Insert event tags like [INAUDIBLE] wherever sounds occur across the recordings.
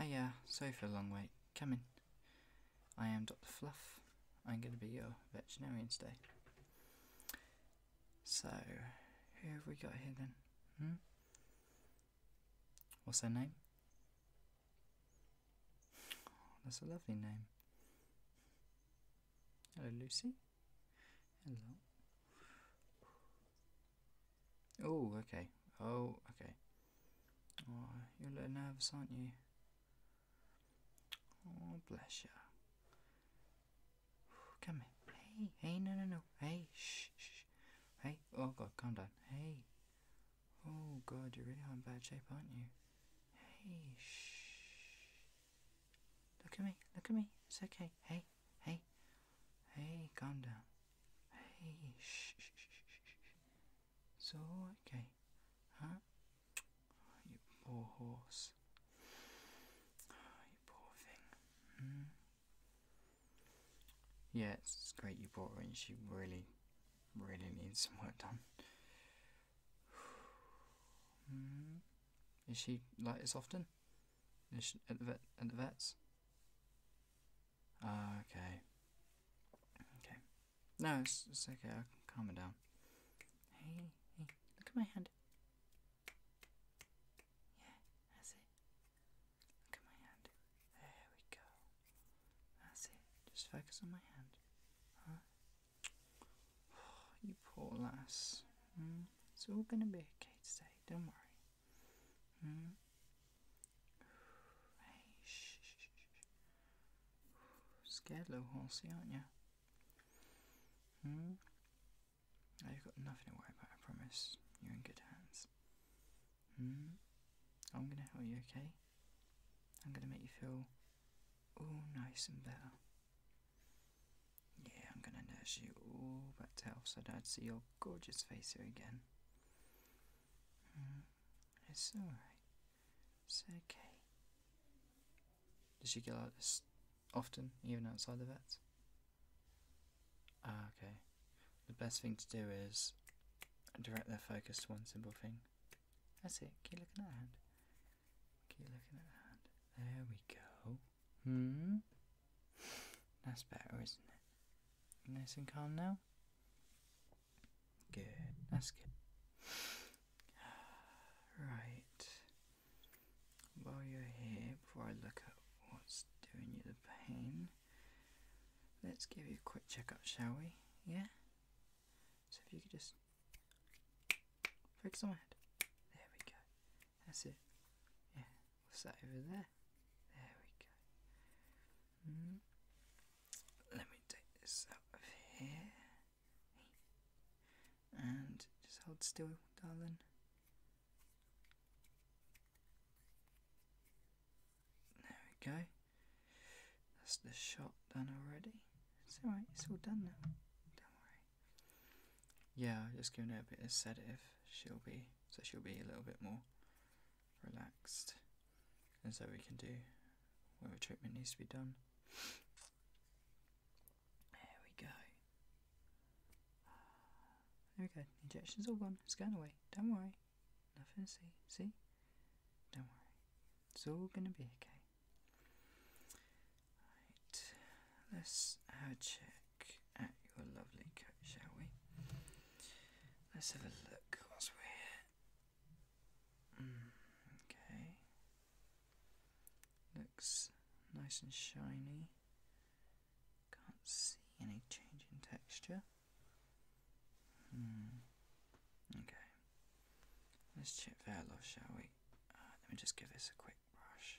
Hiya, sorry for a long wait. Come in. I am Dr. Fluff. I'm going to be your veterinarian today. So, who have we got here then? Hmm? What's her name? that's a lovely name. Hello, Lucy. Hello. Oh, okay. Oh, okay. you're a little nervous, aren't you? Oh, bless you. Come here. Hey, hey, no, no, no. Hey, shh, shh. Hey, oh God, calm down. Hey. Oh God, you're really in bad shape, aren't you? Hey, shh. Look at me, look at me. It's okay. Hey, hey, hey, calm down. Hey, shh, shh, shh, shh, shh. It's all okay, huh? you poor horse. you poor thing. Hmm? Yeah, it's great you brought her in. She really, really needs some work done. [SIGHS] mm. Is she like this often? Is she at the vet at the vets? Uh, okay. Okay. No, it's okay, calm it down. Hey, hey, look at my hand. Yeah, that's Look at my hand. There we go. That's Just focus on my hand. Huh? [SIGHS] you poor lass. Mm? It's all going to be okay today, don't worry. Hmm? [SIGHS] [SIGHS] Scared little horsey, aren't you? Hmm? you've got nothing to worry about, I promise. You're in good hands. Hmm? I'm gonna help you, okay? I'm gonna make you feel all nice and better. Yeah, I'm gonna nurse you all back to health so I don't see your gorgeous face here again. Mm, it's alright. It's okay. Does she get like this often, even outside the vet? Ah, okay. The best thing to do is direct their focus to one simple thing. That's it, keep looking at that hand. Keep looking at that. There we go. Hmm? That's better, isn't it? Nice and calm now? Good. That's good. [SIGHS] Right. While you're here, before I look at what's doing you the pain, let's give you a quick checkup, shall we? Yeah? So if you could just Focus on my head. There we go. That's it. Yeah. What's that over there? There we go. Hmm. Let me take this out of here. And just hold still, darling. There we go. That's the shot done already. It's alright, it's all done now. Don't worry. Yeah, I've just giving her a bit of sedative. She'll be so she'll be a little bit more relaxed, and so we can do whatever treatment needs to be done. There we go. Ah, there we go. Injection's all gone. It's going away. Don't worry. Nothing to see. See? Don't worry. It's all gonna be okay let's have a check at your lovely coat, shall we? Let's have a look What's we're here. Mm, okay, looks nice and shiny. Can't see any change in texture. Hmm, okay. Let's check off, shall we? Uh, let me just give this a quick brush.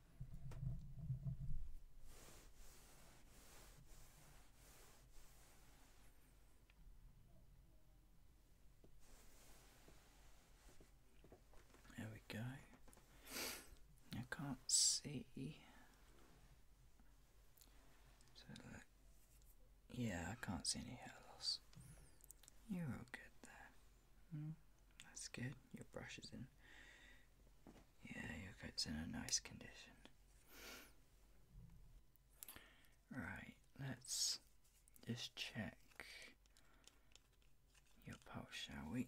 There we go. I can't see. So look. Yeah, I can't see any hair loss. You're all good there. Mm. that's good. Your brush is in. Yeah, your coat's in a nice condition. Right, let's just check your pulse, shall we?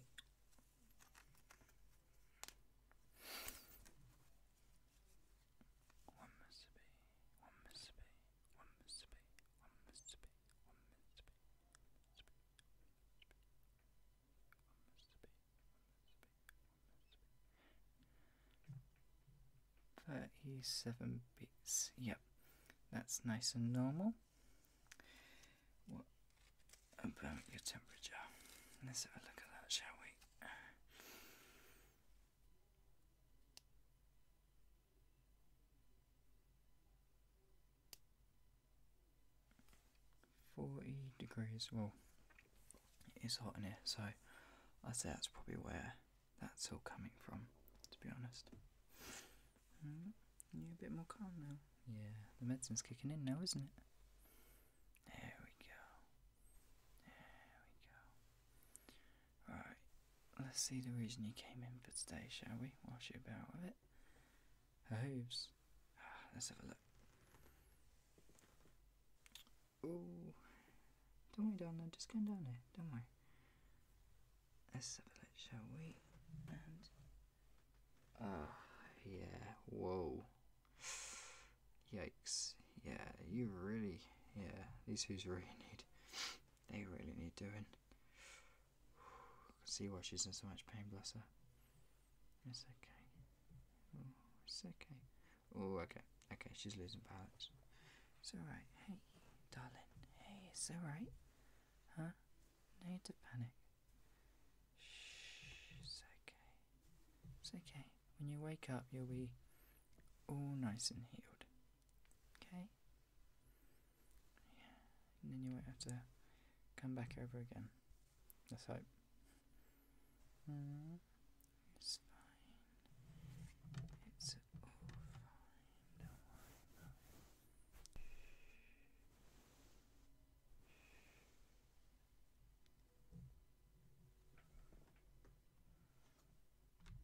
Thirty-seven bits. Yep, that's nice and normal. What about your temperature? Let's have a look at that, shall we? 40 degrees, well, it's hot in here, so I'd say that's probably where that's all coming from, to be honest. you're mm-hmm. a bit more calm now. Yeah, the medicine's kicking in now, isn't it? There we go. There we go. Right, Let's see the reason you came in for today, shall we? Whilst you're about with it. Her hooves. Ah, let's have a look. Oh, don't worry, Donna. I'm just going down there. Don't worry. Let's have a look, shall we? And ah, yeah. Whoa. Yikes. Yeah, you really. Yeah, these hooves really need. They really need doing. [SIGHS] see why she's in so much pain, bless her. It's okay. Oh, it's okay. Oh, okay. Okay, she's losing balance. It's alright. Hey, darling. Hey, it's alright. Huh? No need to panic. Shh, it's okay. It's okay. When you wake up, you'll be all nice and healed. Okay? Yeah. And then you won't have to come back over again. Let's hope. Mm, it's fine. It's all fine.